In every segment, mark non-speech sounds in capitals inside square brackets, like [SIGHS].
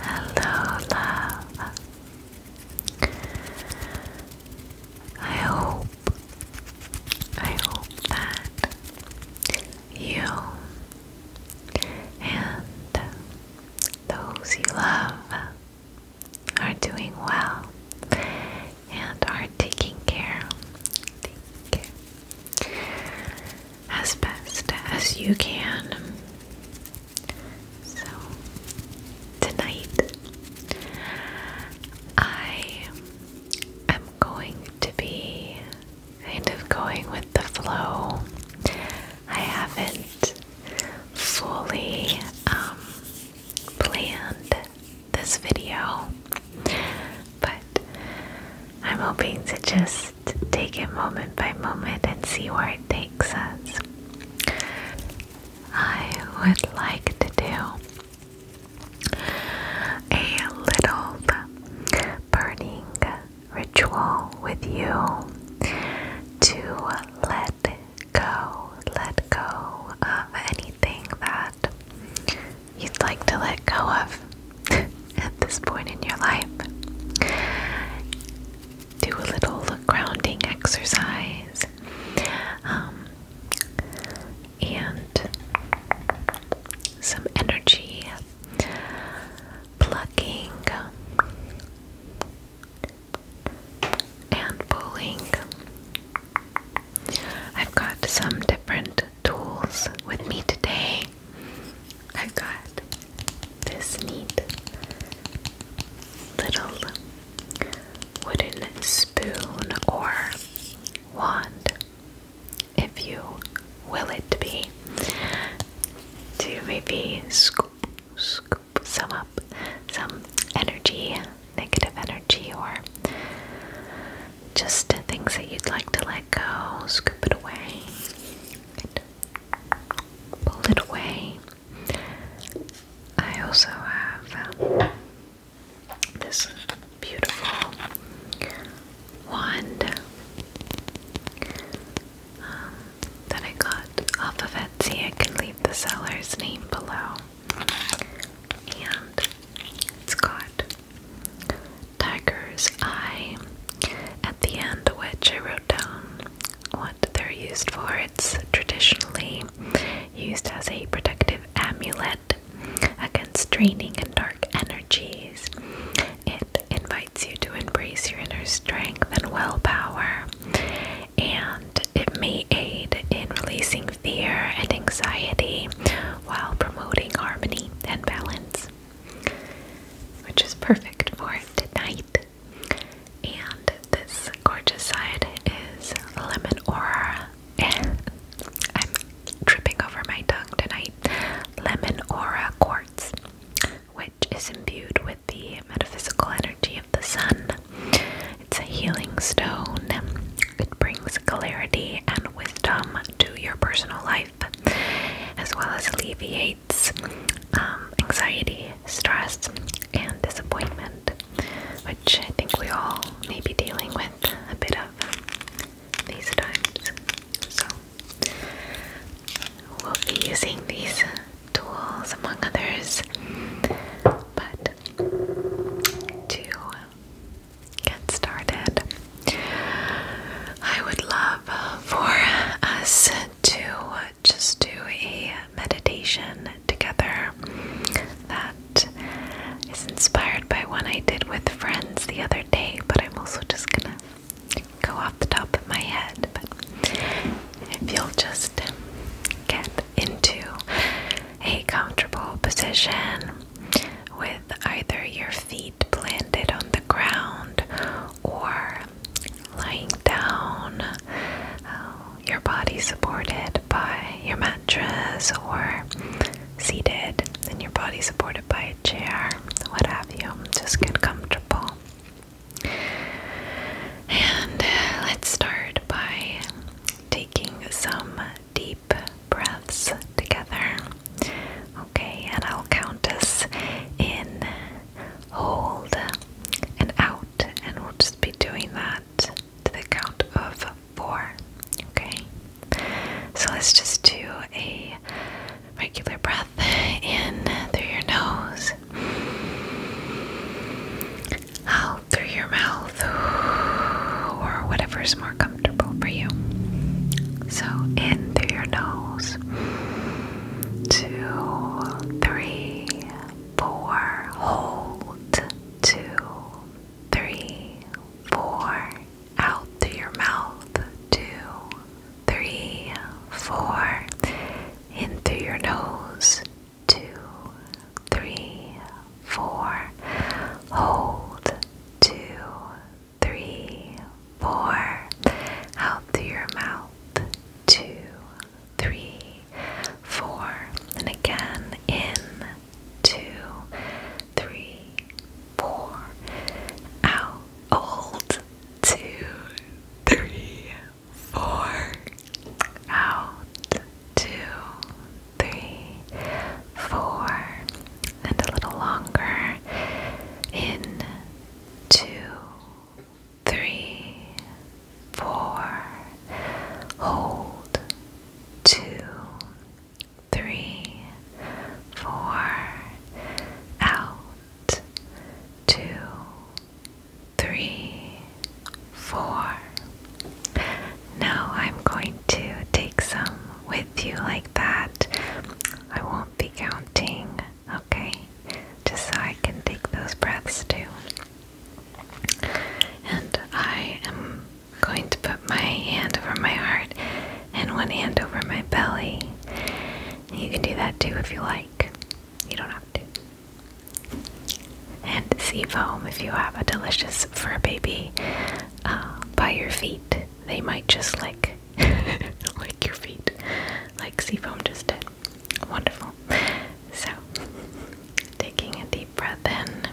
Hello, love. I hope, I hope that you and those you love are doing well and are taking care, taking as best as you can. So, tonight I am going to be kind of going with the flow I haven't fully um, planned this video, but I'm hoping to just take it moment by moment and see where it takes us. I would like to do a little burning ritual with you to let let go, let go of anything that you'd like to let go of [LAUGHS] at this point in your life. Do a little grounding exercise. Um, and some energy plugging and pulling. I've got some different tools with me today. I've got this neat little wooden spoon or wand, if you will it be, to maybe scoop, scoop scoop some up, some energy, negative energy, or just things that you'd like to let go. Scoop it away. Good. Pull it away. I also have um, this beautiful wand. Um, that I got off of Etsy. I can leave the seller's name below. And it's got Tiger's Eye at the end, which I wrote down what they're used for. It's traditionally used as a protective amulet against draining and dark energies. It invites you to embrace your inner strength and willpower and it may aid in releasing fear and anxiety while promoting harmony and balance, which is perfect for tonight. And this gorgeous side is lemon aura. I'm tripping over my tongue tonight. Lemon aura quartz which is imbued with the metaphysical energy of the sun. It's a healing stone. It brings clarity and wisdom to your personal life, as well as alleviates um, anxiety, stress, and disappointment, which I think we all may be dealing with a bit of these times. So, we'll be using these tools, among others. But to get started, I would love for us to just do a meditation together that is inspired by one I did with friends the other day, but I'm also just gonna go off the top of my head if you'll just get into a comfortable position with either your feet planted on the ground or lying down, uh, your body supported by your mattress or seated and your body supported by a chair, what have you. Just get comfortable. And uh, let's start by taking some deep breaths together. Okay, and I'll count us in, hold, and out, and we'll just be doing that to the count of four. Okay, so let's just do a regular breath in through your nose, out through your mouth, or whatever's more comfortable for you. So, in through your nose, two, three, four, hold, two, three, four, out through your mouth, two, three, four, in through your nose. Two, three, four. Hold. Two, three, four. Out through your mouth. Two, three, four. And again, in. Two, three, four. Out. Hold. Two, three, four, out, two, three, four, and a little longer, in, two, three, four, hold, two, three, four, out, two, three, four. Now I'm going to take some with you like that. I won't be counting, okay? Just so I can take those breaths too. And I am going to put my hand over my heart and one hand over my belly. You can do that too if you like. You don't have to and sea foam. if you have a delicious fur baby uh, by your feet. They might just lick, [LAUGHS] lick your feet, like sea foam just did. Wonderful. So, taking a deep breath in.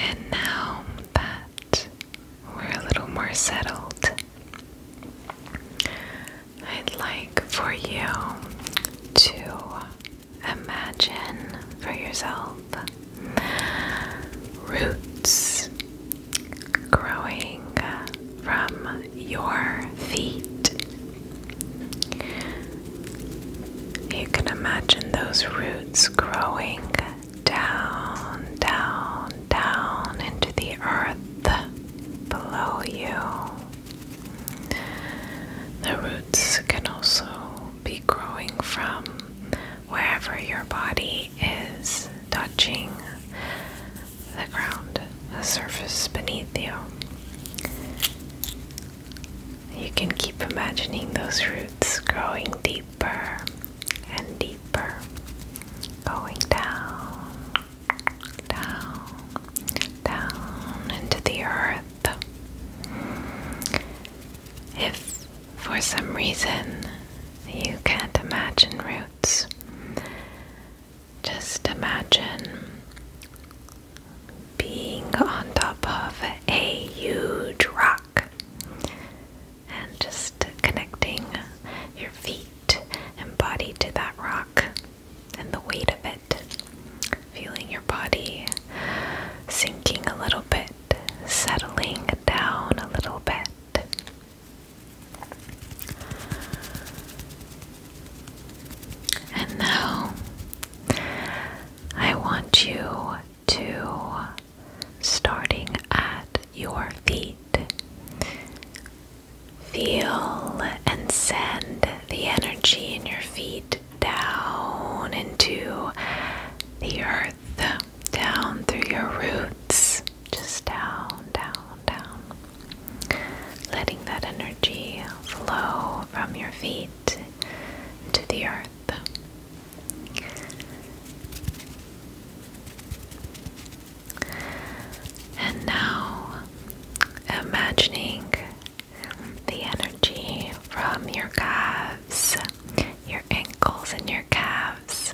And now that we're a little more settled, I'd like for you to imagine for yourself Roots growing from your feet. You can imagine those roots growing down, down, down into the earth below you. The roots can also be growing from wherever your body is touching the ground, the surface beneath you. You can keep imagining those roots growing deeper and deeper, going down, down, down into the earth. If for some reason, you can't imagine roots. Just imagine being on top of a huge rock and just connecting your feet and body to that rock and the weight of it. Feeling your body sinking a little bit, settling down a little bit. And now I want you to, starting at your feet, feel and send the energy in your feet down into the earth down through your roots, just down, down, down. Letting that energy flow from your feet to the earth. And now, imagining the energy from your calves your ankles and your calves,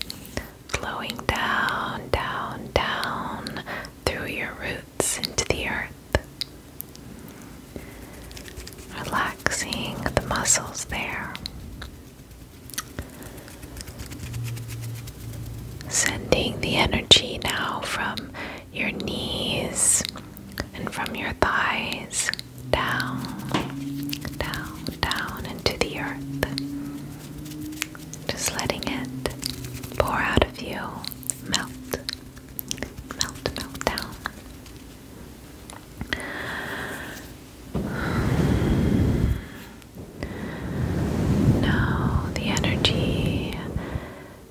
flowing down, down, down through your roots into the earth. Relaxing the muscles there. Sending the energy now from your knees and from your thighs down, down, down into the earth. Just letting it pour out of you, melt, melt, melt down. Now the energy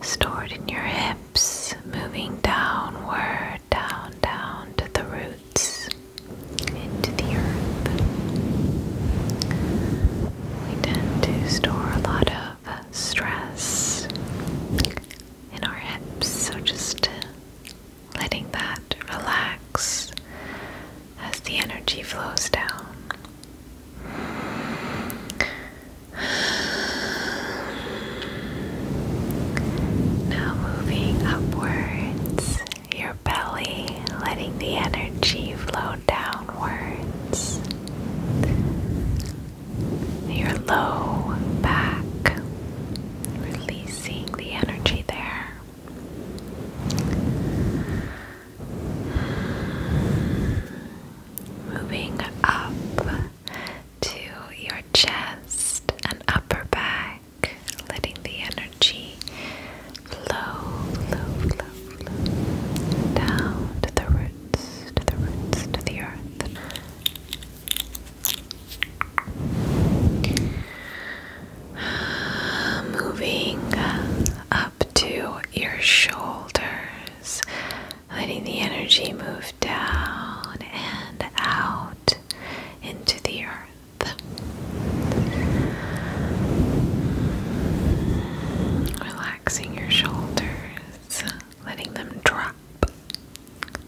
stored in your hips moving downward, down, down to the roots into the earth. We tend to store a lot of stress in our hips, so just letting that relax as the energy flows down. Now moving upwards your belly, letting the energy flow downwards, your low back, releasing the energy there. Moving up to your chest and upper back letting the energy flow, flow, flow, flow down to the roots, to the roots, to the earth. [SIGHS] Moving up to your shoulders, letting the energy move down and out into the earth. Relaxing your shoulders, letting them drop.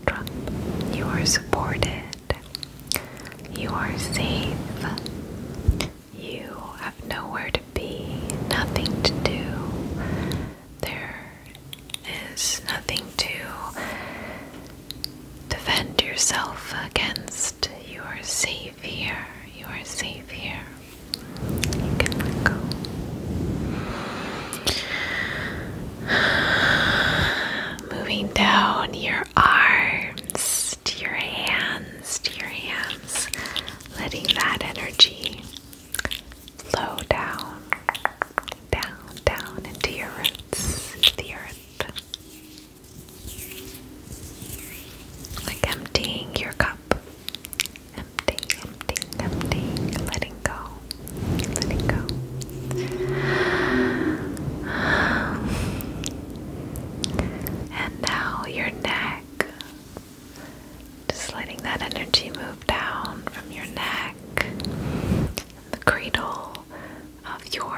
Drop. You are supported. You are safe. You have nowhere to be, nothing to do. There is nothing to defend yourself against. You are safe here. You are safe here. You can go. Moving down your arms to your hands, to your hands, letting that energy flow down, down, down into your roots, into the earth. Like emptying your cup. empty, empty, empty, letting go, letting go. And now your neck. Just letting that energy move down from your neck, the cradle of your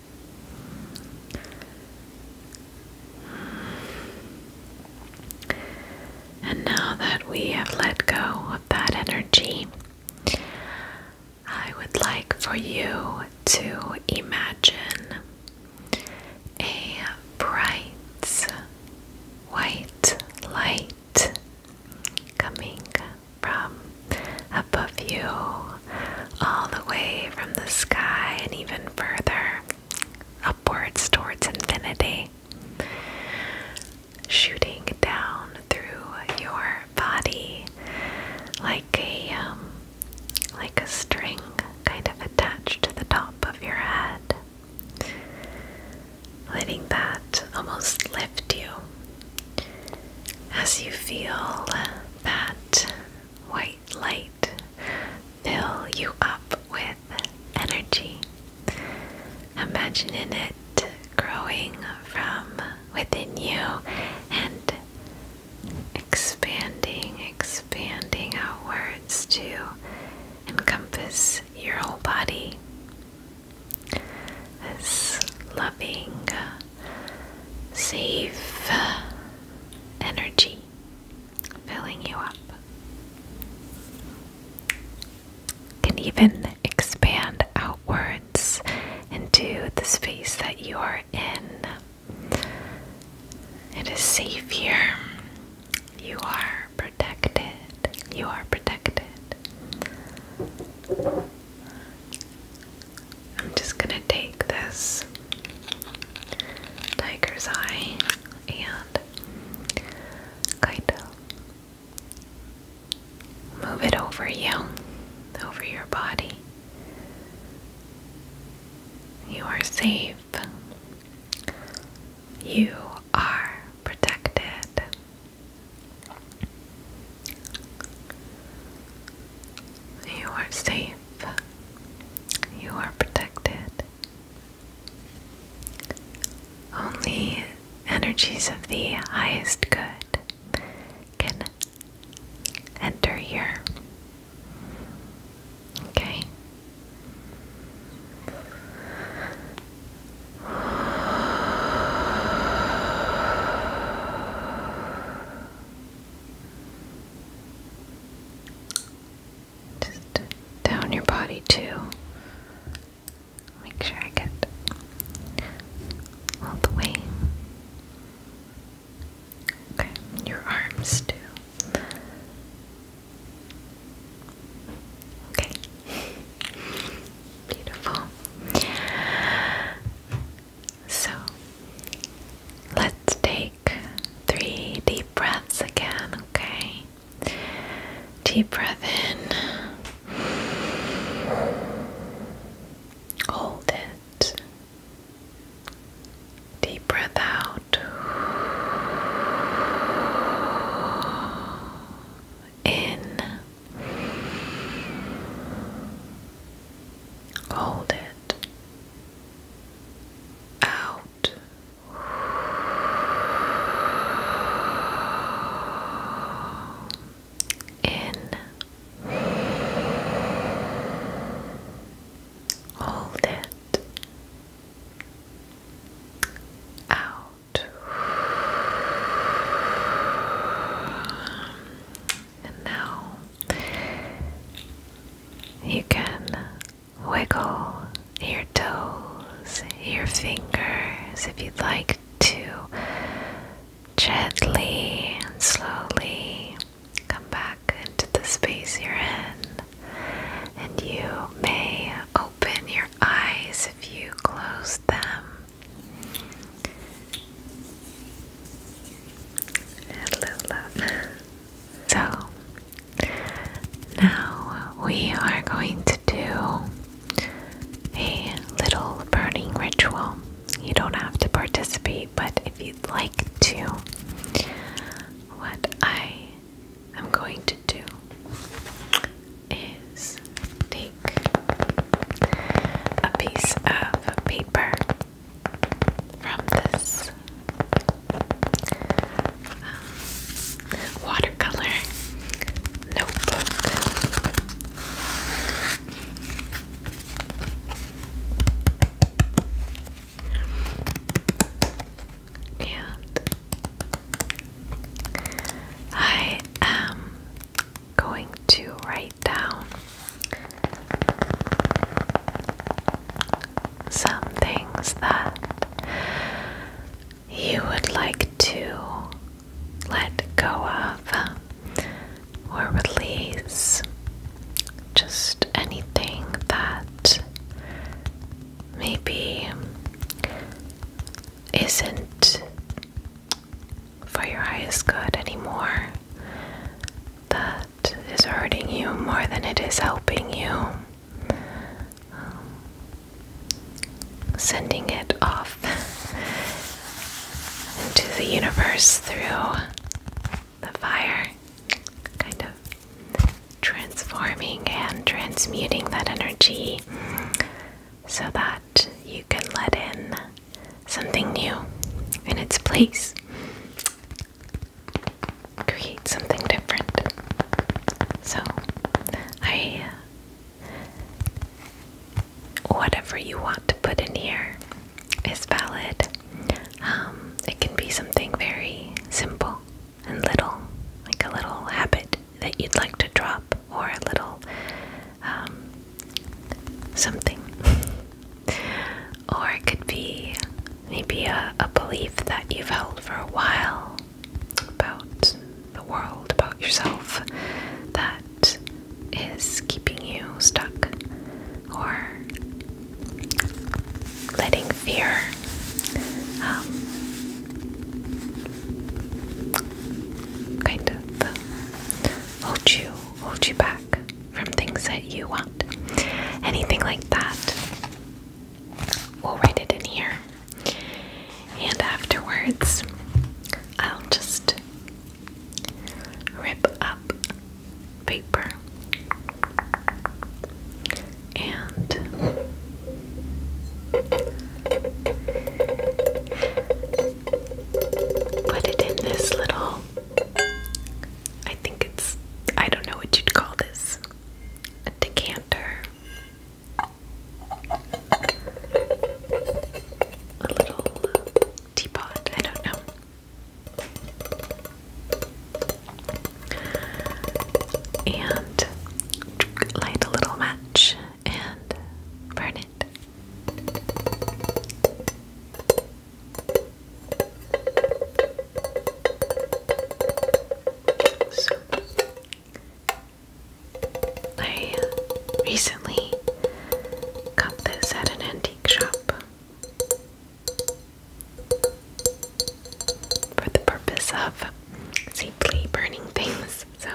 and now that we have let go of that energy, I would like for you to imagine a bright white light coming from above you all the way from the sky and even further upwards towards infinity, shooting down through your body like a um, like a string kind of attached to the top of your head. Letting that almost lift you as you feel that white light fill you up with energy. Imagine in it growing from within you and expanding, expanding outwards to encompass your whole body. This loving, safe energy filling you up. Can even expand outwards into the space that you are in. It is safe here. You are protected. You are protected. I'm just going to take this Tiger's Eye, and Kaito. Move it over you, over your body. You are safe. You are protected. You are safe you are protected. Only energies of the highest good can enter here. Okay just down your body too. Make sure I get all the way. Okay, your arms too. Okay. Beautiful. So, let's take three deep breaths again, okay? Deep breath in. Hold it. Deep breath out. In. Hold it out. In hold it out, and now you can wiggle your toes, your fingers if you'd like to gently and slowly come back into the space you're in. And you may open your eyes if you closed them. Hello, love. So now we are going to do a little burning ritual. You don't have to participate, but if you'd like to, what I am going to do is take a piece of paper from this um, watercolor notebook. And I am going to write down some things that you would like to let go of or release. Just anything that maybe isn't for your highest good anymore. The is hurting you more than it is helping you. Um, sending it off [LAUGHS] into the universe through the fire, kind of transforming and transmuting that energy so that you can let in something new in its place create something different. So, I. Whatever you want to put in here is valid. Um, it can be something very simple and little, like a little habit that you'd like to drop, or a little um, something [LAUGHS] Or it could be maybe a, belief that you've held for a while about the world, about yourself, that is keeping you stuck or letting fear um, kind of hold you, hold you back from things that you want. Anything like that. We'll write it in here. And afterwards, I'll just rip up paper and put it in this little I think it's, I don't know what you'd call this, a decanter. A little teapot, I don't know. And light a little match and burn it. So, I recently got this at an antique shop for the purpose of safely burning things. So,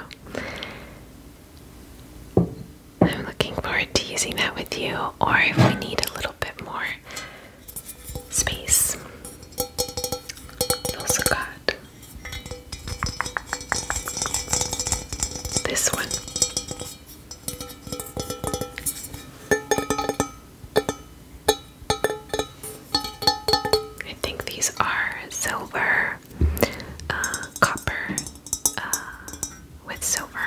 I'm looking forward to using that with you, or if we need a little bit more space. i also got this one. I think these are silver, uh, copper uh, with silver.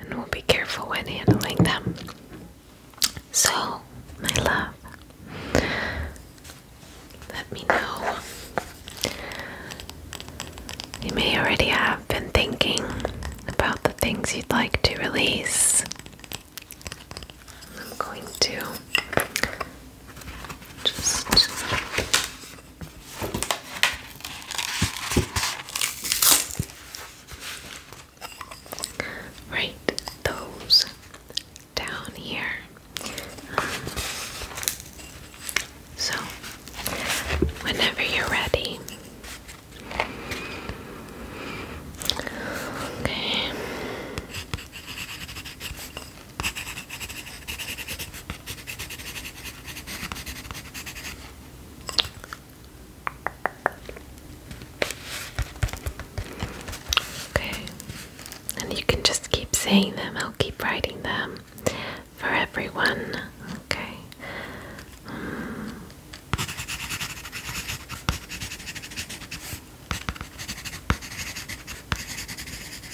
And we'll be careful when handling them. So, my love, let me know. You may already have been thinking about the things you'd like to release. I'm going to just write those down here. so, whenever you're ready. Okay. Okay, and you can just keep saying them, I'll keep writing them for everyone. Okay.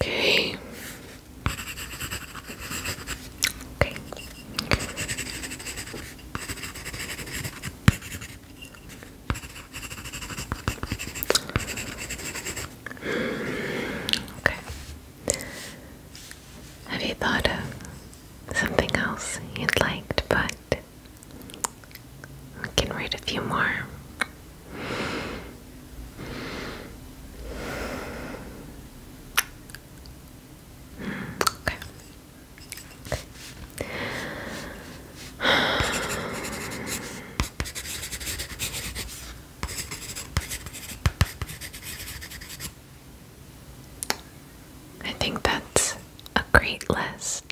Okay. Okay. Have you thought of something else you'd liked but I can read a few more. Okay. I think that's a great list.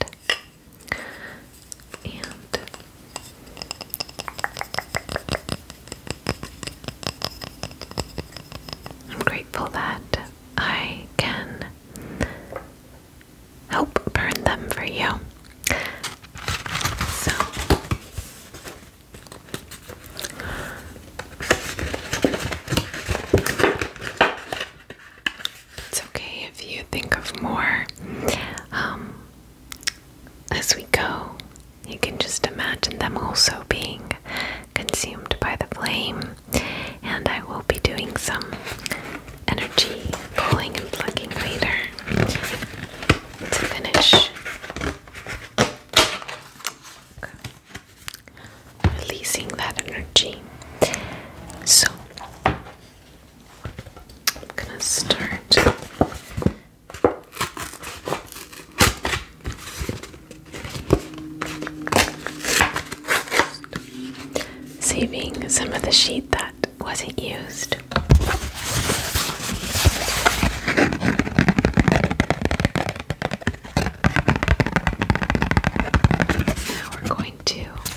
I'm grateful that I can help burn them for you. So it's okay if you think of more. Um, as we go, you can just imagine them also being consumed by the flame, and I will be doing some energy pulling and plugging later to finish releasing that energy. So, I'm gonna start saving some of the sheet that wasn't used. Now we're going to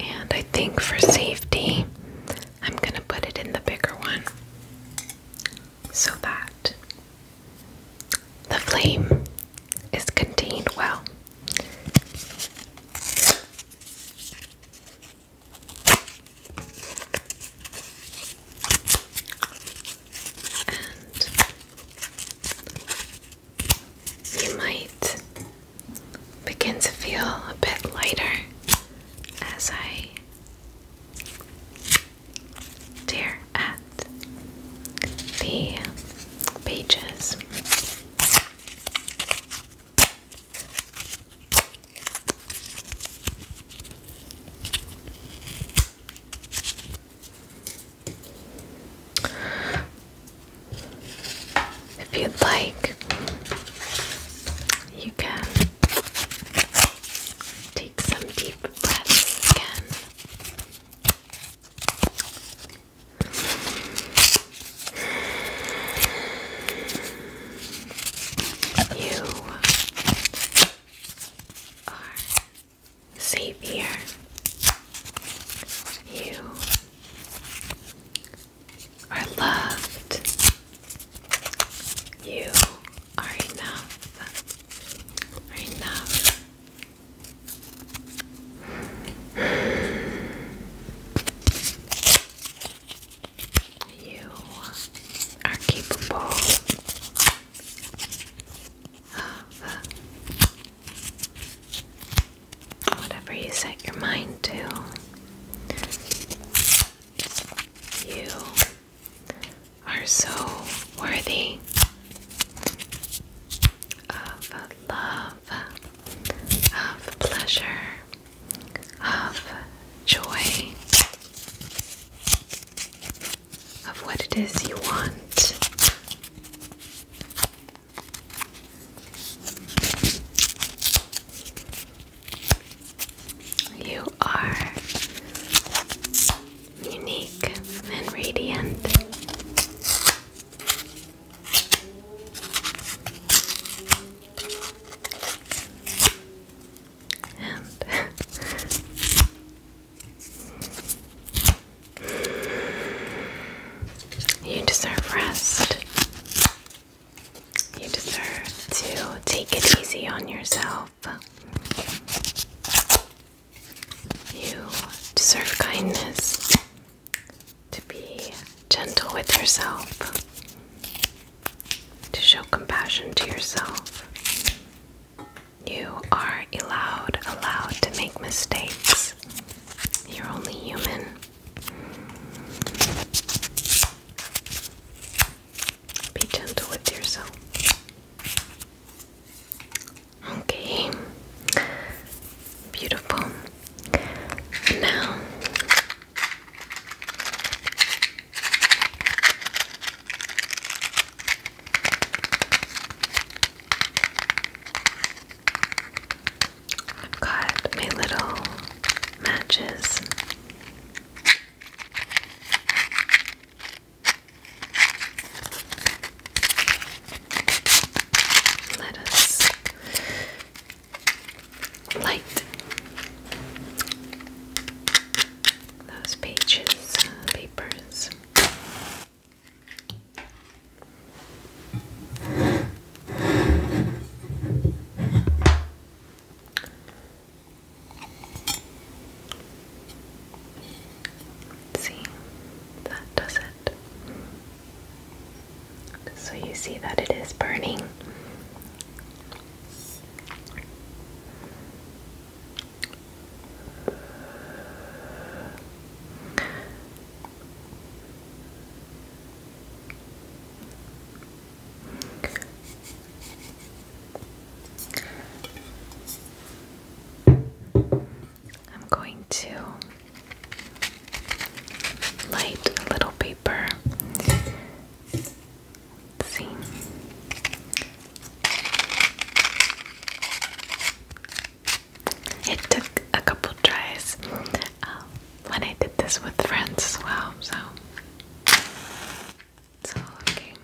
And I think for safety, I'm going to put it in the bigger one so that the flame is contained well you might begin to feel a bit lighter as I tear at the pages. If you'd like, you can take some deep breaths again. You are safe here. You are loved. You are enough. Are enough. You are capable of whatever you set your mind to. You are so worthy of love, of pleasure, of joy, of what it is you want. You are unique and radiant you deserve rest. You deserve to take it easy on yourself. You deserve kindness, to be gentle with yourself, to show compassion to yourself. You are allowed, allowed to make mistakes. You're only human. Be gentle with yourself. Okay. Beautiful. Now, I've got my little matches. Let us light. Those pages, uh, papers. See, that does it. So you see that it is burning. I'm going to light a little paper it took a couple tries um, when I did this with friends as well, so it's okay.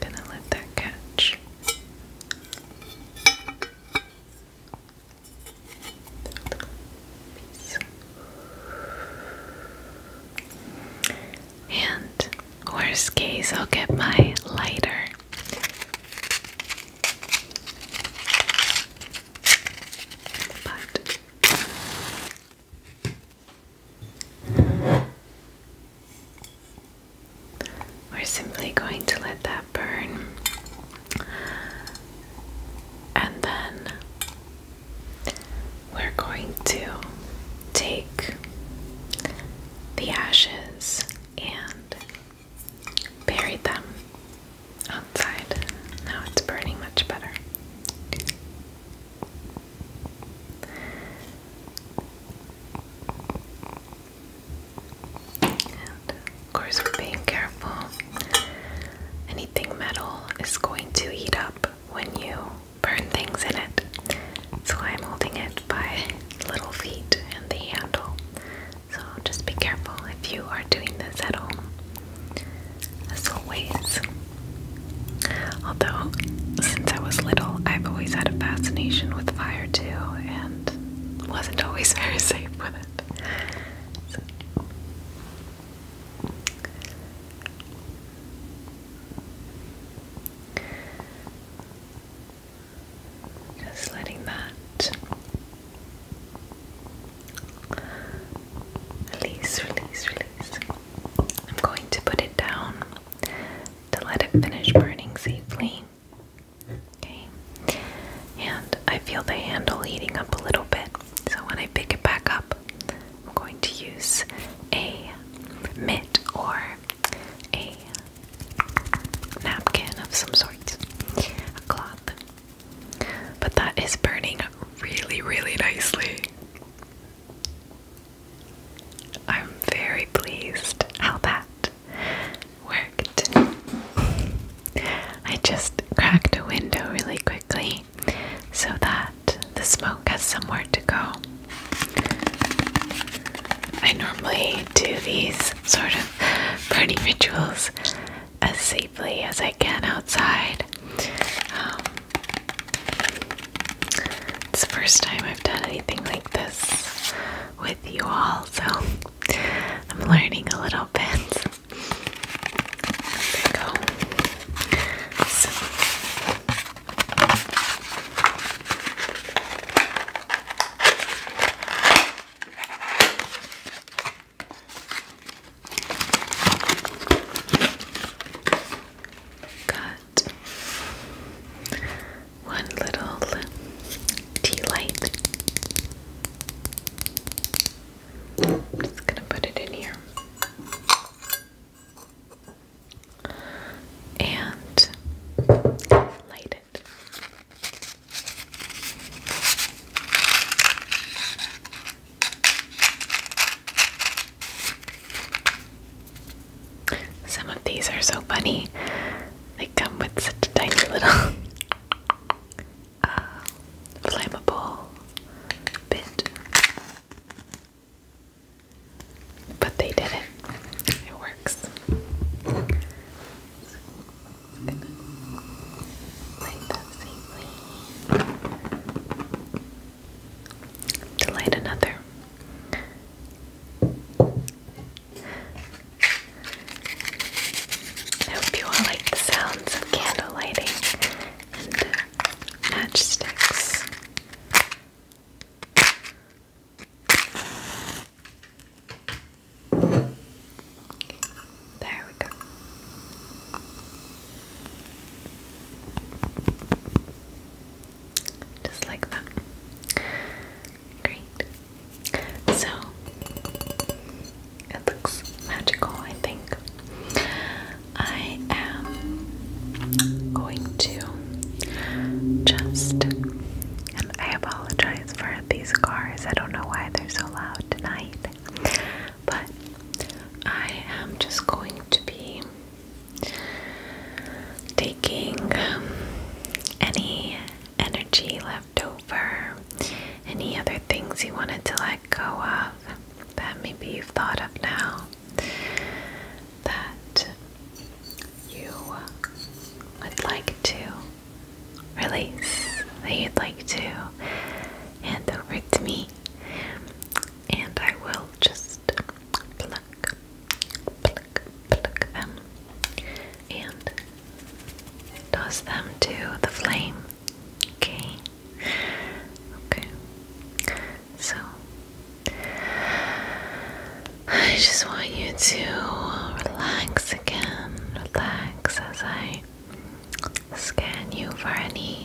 Gonna let that catch. And worst case, I'll get my lighter. But we're simply going to let that burn and then we're going to take the ashes and bury them outside. Now it's burning much better of course, being careful. Anything metal is going to heat up when you burn things in it. So I'm holding it by little feet and the handle. So just be careful if you are doing this at home as always. Although, since I was little, I've always had a fascination with fire too, and wasn't always [LAUGHS] very safe with it. Just letting that Release, release, release. I'm going to put it down to let it finish burning safely. Okay. And I feel the handle heating up a little bit. So when I pick it back up, I'm going to use a mitt or a napkin of some sort, a cloth. But that is burning really, really nicely. I'm very pleased how that worked. I just cracked a window really quickly so that the smoke has somewhere to go. I normally do these sort of burning rituals as safely as I can outside. Um, it's the first time I've done anything like this with you all, so I'm learning a little bit. There we go. Got one little tea light. just gonna put it in here. And light it. Some of these are so funny. They come with such a tiny little [LAUGHS] uh, flammable bit. But they did it. It works light another. I hope you all like the sounds of candle lighting and uh, matchsticks. There we go. Just like that. Great. So, it looks magical, I think. I am going to just, and I apologize for these cars. I don't know why they're so loud tonight but I am just going to be taking um, any energy left over, any other things you wanted to let go of that maybe you've thought of now that you would like to release, that you'd like to hand over to me and I will just pluck, pluck, pluck them and toss them to the flame. Okay, okay. So, I just want you to relax again, relax as I scan you for any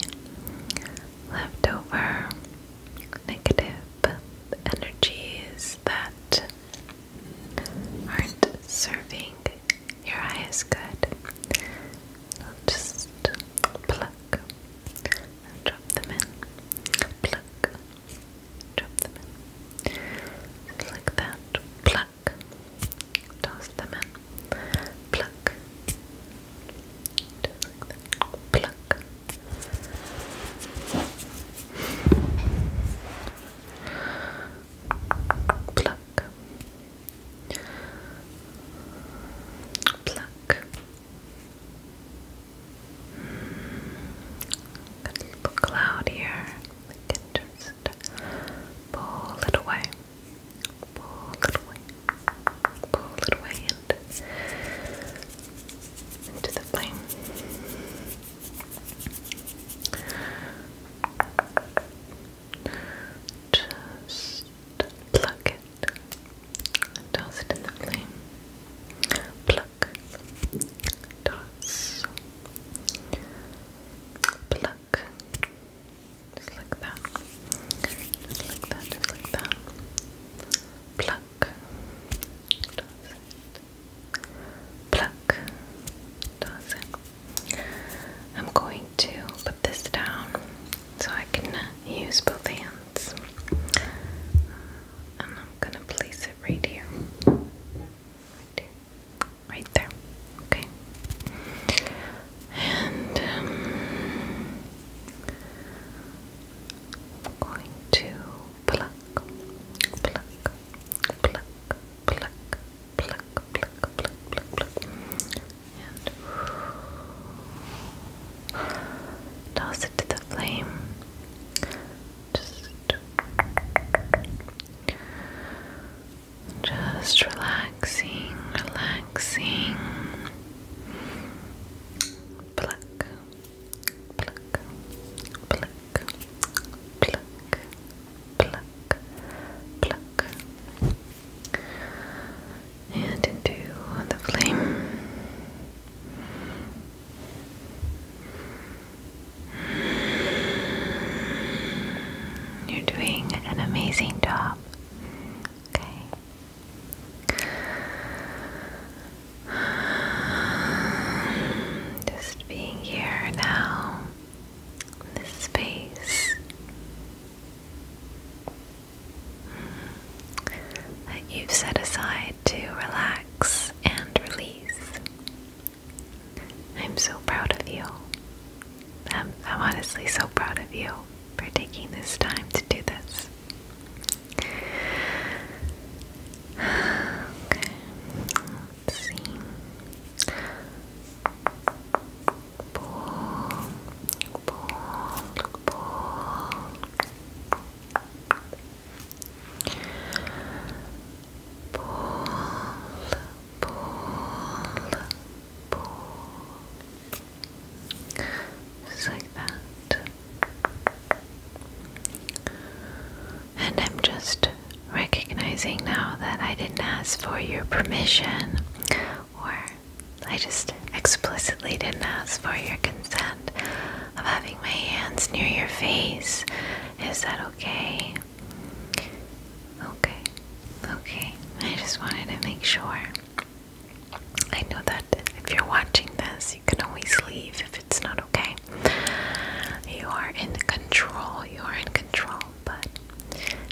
leftover negative energies that aren't serving your highest good. just pluck drop them in. Pluck, drop them in. Just like that. Pluck, toss them in pluck, just pluck. Pluck, pluck. Got a little cloud here. We can just pull it away pull it away, pull it away, into the flame. Just pluck it and it in the flame. Pluck, toss, pluck, just like that. Just like that, just like that. Pluck. Pluck. I'm going to put this down so I can uh, use both hands. And I'm going to place it right here. Right there. Right there. Okay. And um, I'm going to pluck, pluck, pluck, pluck, pluck, pluck, pluck, pluck, pluck, and toss it to the flame. Just, just relaxing, relaxing. Pluck, pluck, pluck, pluck, pluck, pluck. And into the flame. You're doing an amazing job. Okay. [SIGHS] Just being here now in this space [SIGHS] that you've set aside to relax and release. I'm so proud of you. I'm, I'm honestly so proud of you for taking this time to do this. Pull, pull, pull. Pull, pull, pull. Just like that. And I'm just recognizing now that I didn't ask for your permission, or I just explicitly didn't ask for your consent of having my hands near your face. Is that okay? Okay, okay. I just wanted to make sure. I know that if you're watching this, you can always leave if it's not okay. You are in control, you are in control, but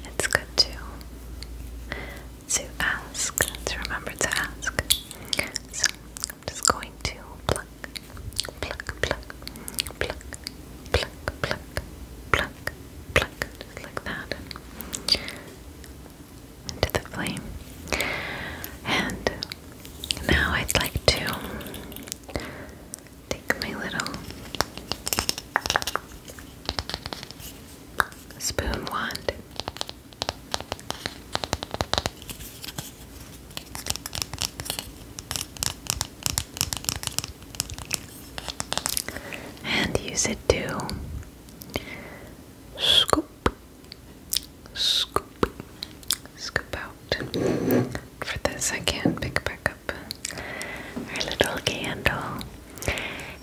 it's good to to ask, to remember to ask. So I'm just going to pluck, pluck, pluck, pluck, pluck, pluck, pluck, pluck, like that into the flame. And now I'd like to take my little spoon wand. And use it too. Scoop, scoop, scoop out. For this, I can pick back up our little candle,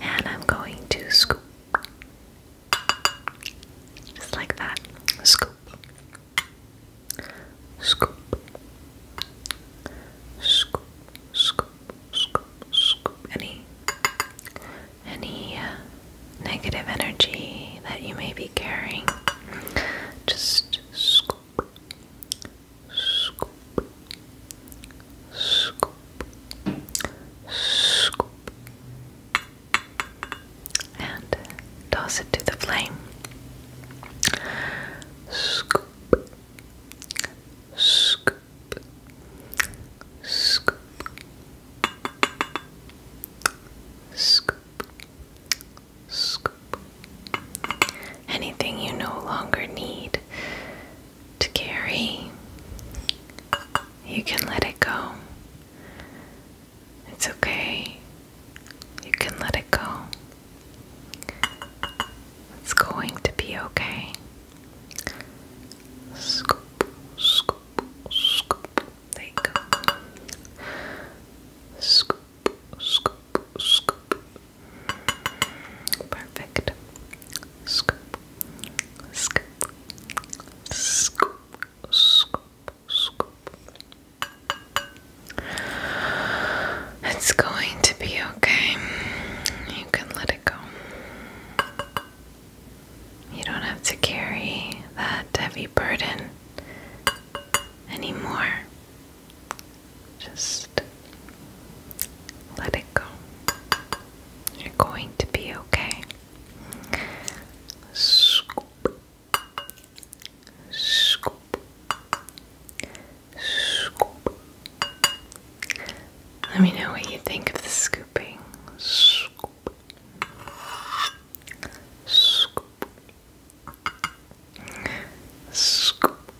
and I'm going to scoop, just like that. Scoop, scoop, scoop, scoop, scoop, any any uh, negative energy that you may be carrying. Just scoop, scoop, scoop, scoop, and toss it to the flame. Scoop, scoop scoop, scoop, scoop, Anything you no longer need to carry, you can let it go. It's okay. You can let it go. It's going to be okay. Scoop, scoop, scoop. There you go. Scoop, scoop, scoop. Perfect. Scoop, scoop, scoop, scoop, scoop. It's going to be okay. You can let it go. You don't have to carry that heavy burden anymore. Just let it go. You're going to be okay. Scoop. Scoop. Scoop. Let me know what you think of the scooping. Scoop. Scoop. Scoop.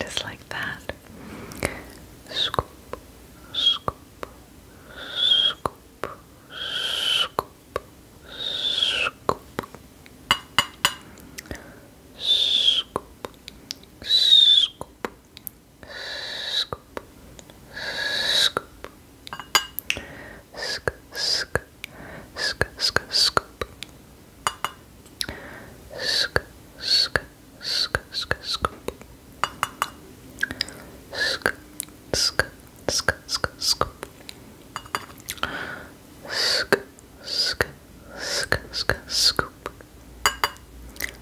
Just like that. Scoop. Scoop. Scoop. Scoop. Scoop. Scoop scoop, scoop, sk, sk, sk, sk, scoop, sk, sk, sk, sk, scoop, sk, sk, sk, sk, scoop, sk, sk, sk, sk, scoop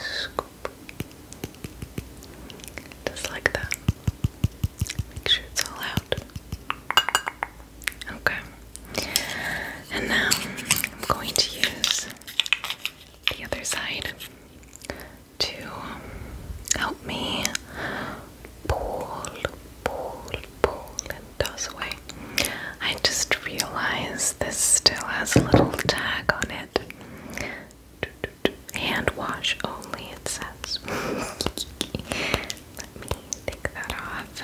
Scoop. Just like that. Make sure it's all out. Okay. And now I'm going to use the other side to help me pull, pull, pull, and toss away. I just Realize this still has a little tag on it. Hand wash only, it says. [LAUGHS] Let me take that off.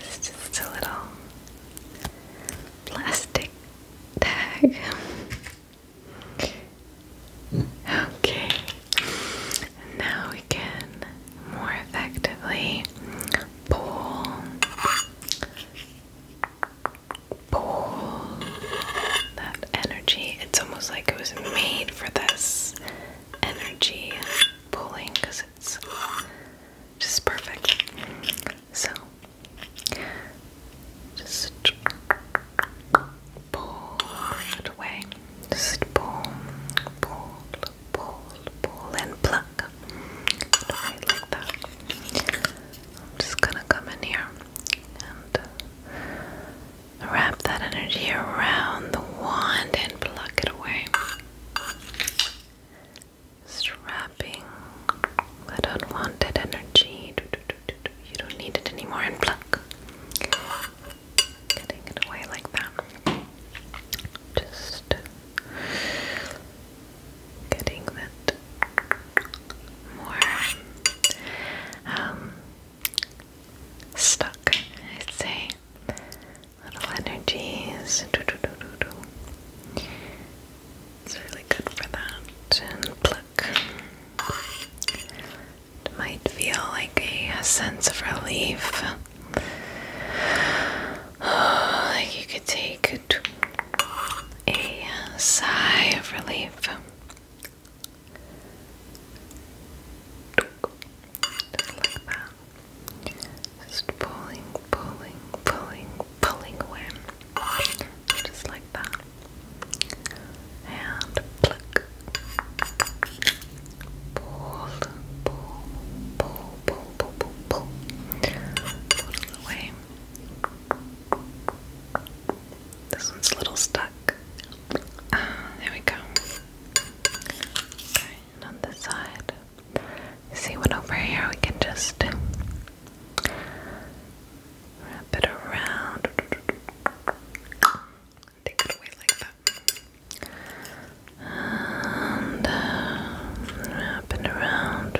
It's just a little plastic tag. Okay, now we can more effectively pull pull that energy. It's almost like it was made for this energy pulling because it's just perfect. So, just pull it away. Just pull, pull, pull, pull, and pluck. Right, like that. I'm just gonna come in here and uh, wrap that energy around the wand and pluck it away. Strapping that energy. You don't need it anymore and pluck. Getting it away like that. Just getting that more um, stuck, I'd say. Little energies. It's really good for that. And pluck. It might feel like a, sense of relief. [SIGHS] like you could take a sigh of relief. Just pulling, pulling, pulling, pulling away. Just like that. And pluck. Pull, pull, pull, pull, pull, pull, pull, pull. it away. This one's a little stuck. Ah, there we go. Okay, and on this side, see what over here we can just wrap it around. Take it away like that and uh, up around.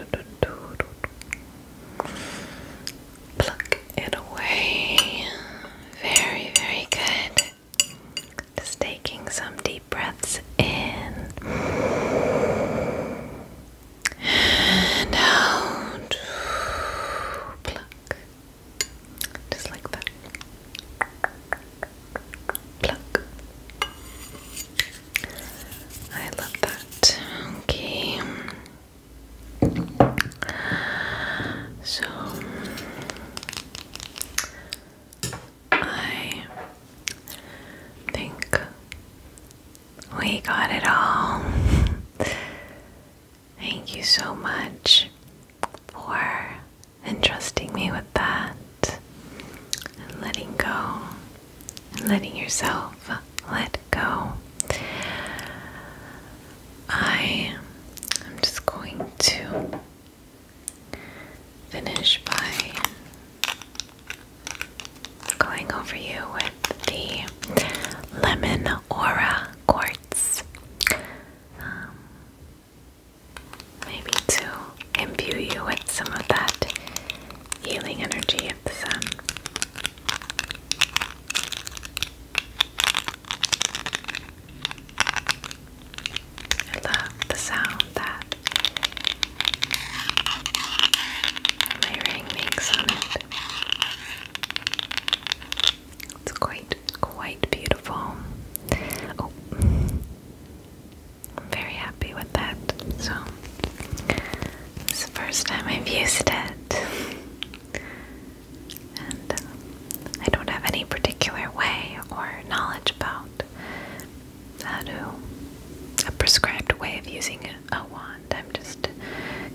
Pluck it away. Very, very good. Just taking some deep breaths in and out. Pluck. Just like that. I love that. Okay. So I think we got it all. Thank you so much for entrusting me with that and letting go letting yourself let go. I am just going to finish by going over you with the lemon aura quartz. Um, maybe to imbue you with some of that healing energy of the sun. I love the sound that my ring makes on it. It's quite, quite beautiful. Oh, I'm very happy with that. So, it's the first time I've used it. and uh, I don't have any particular way or knowledge about how to, a prescribed way of using a, a wand. I'm just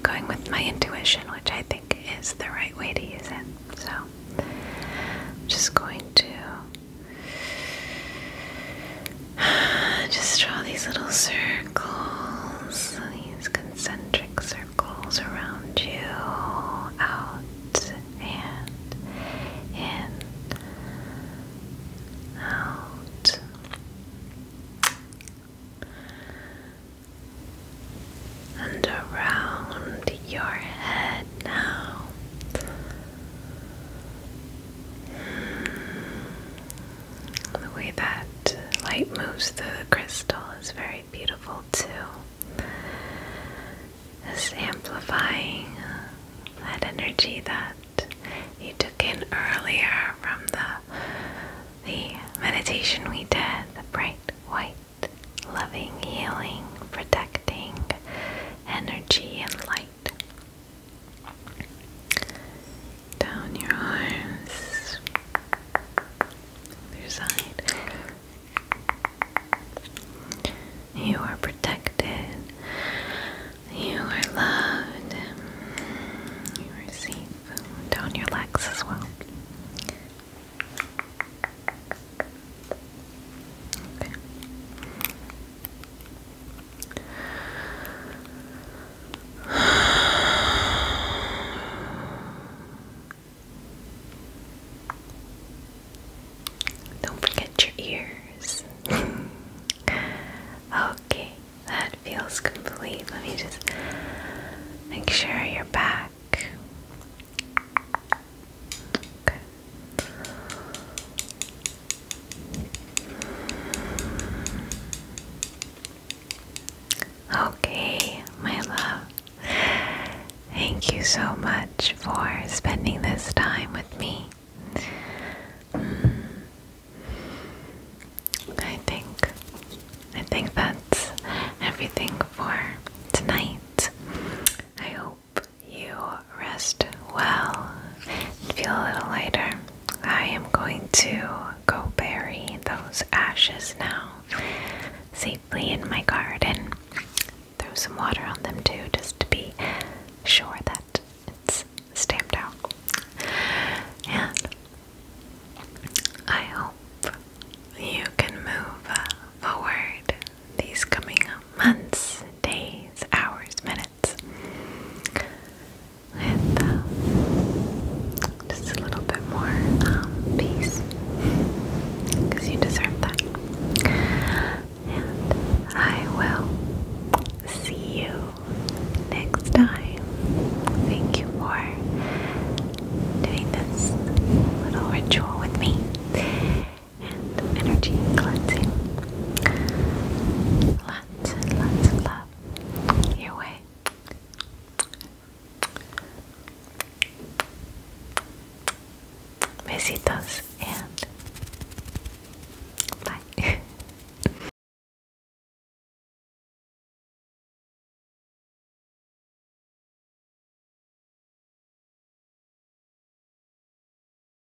going with my intuition, which I think is the right way to use it. So, I'm just going to [SIGHS] Just draw these little circles, these concentric circles around you, out and in, out. And around your head now. The way that light moves through the crystal is very beautiful too. It's amplifying that energy that you took in earlier from the the meditation we did, the bright white loving, healing, protecting energy and light down your arms, your side. You are protected. You are loved. You are Down your legs as well. [SIGHS] Don't forget your ears. [LAUGHS] okay, that feels complete. Let me just make sure you're back. Okay, my love. Thank you so much for spending this time with me. Hmm. I think I think that's everything for tonight. I hope hope you rest well and feel a little lighter. I am going to go bury those ashes now safely in my garden. Throw some water on them too, just to be sure that it's stamped out. And I hope you can move forward these coming months, days, hours, minutes it um, just a little bit more um, peace because you deserve that. And I will see you next time. Thank you for doing this little ritual with me and energy cleansing. Lots and lots of love your way. Besitos and bye.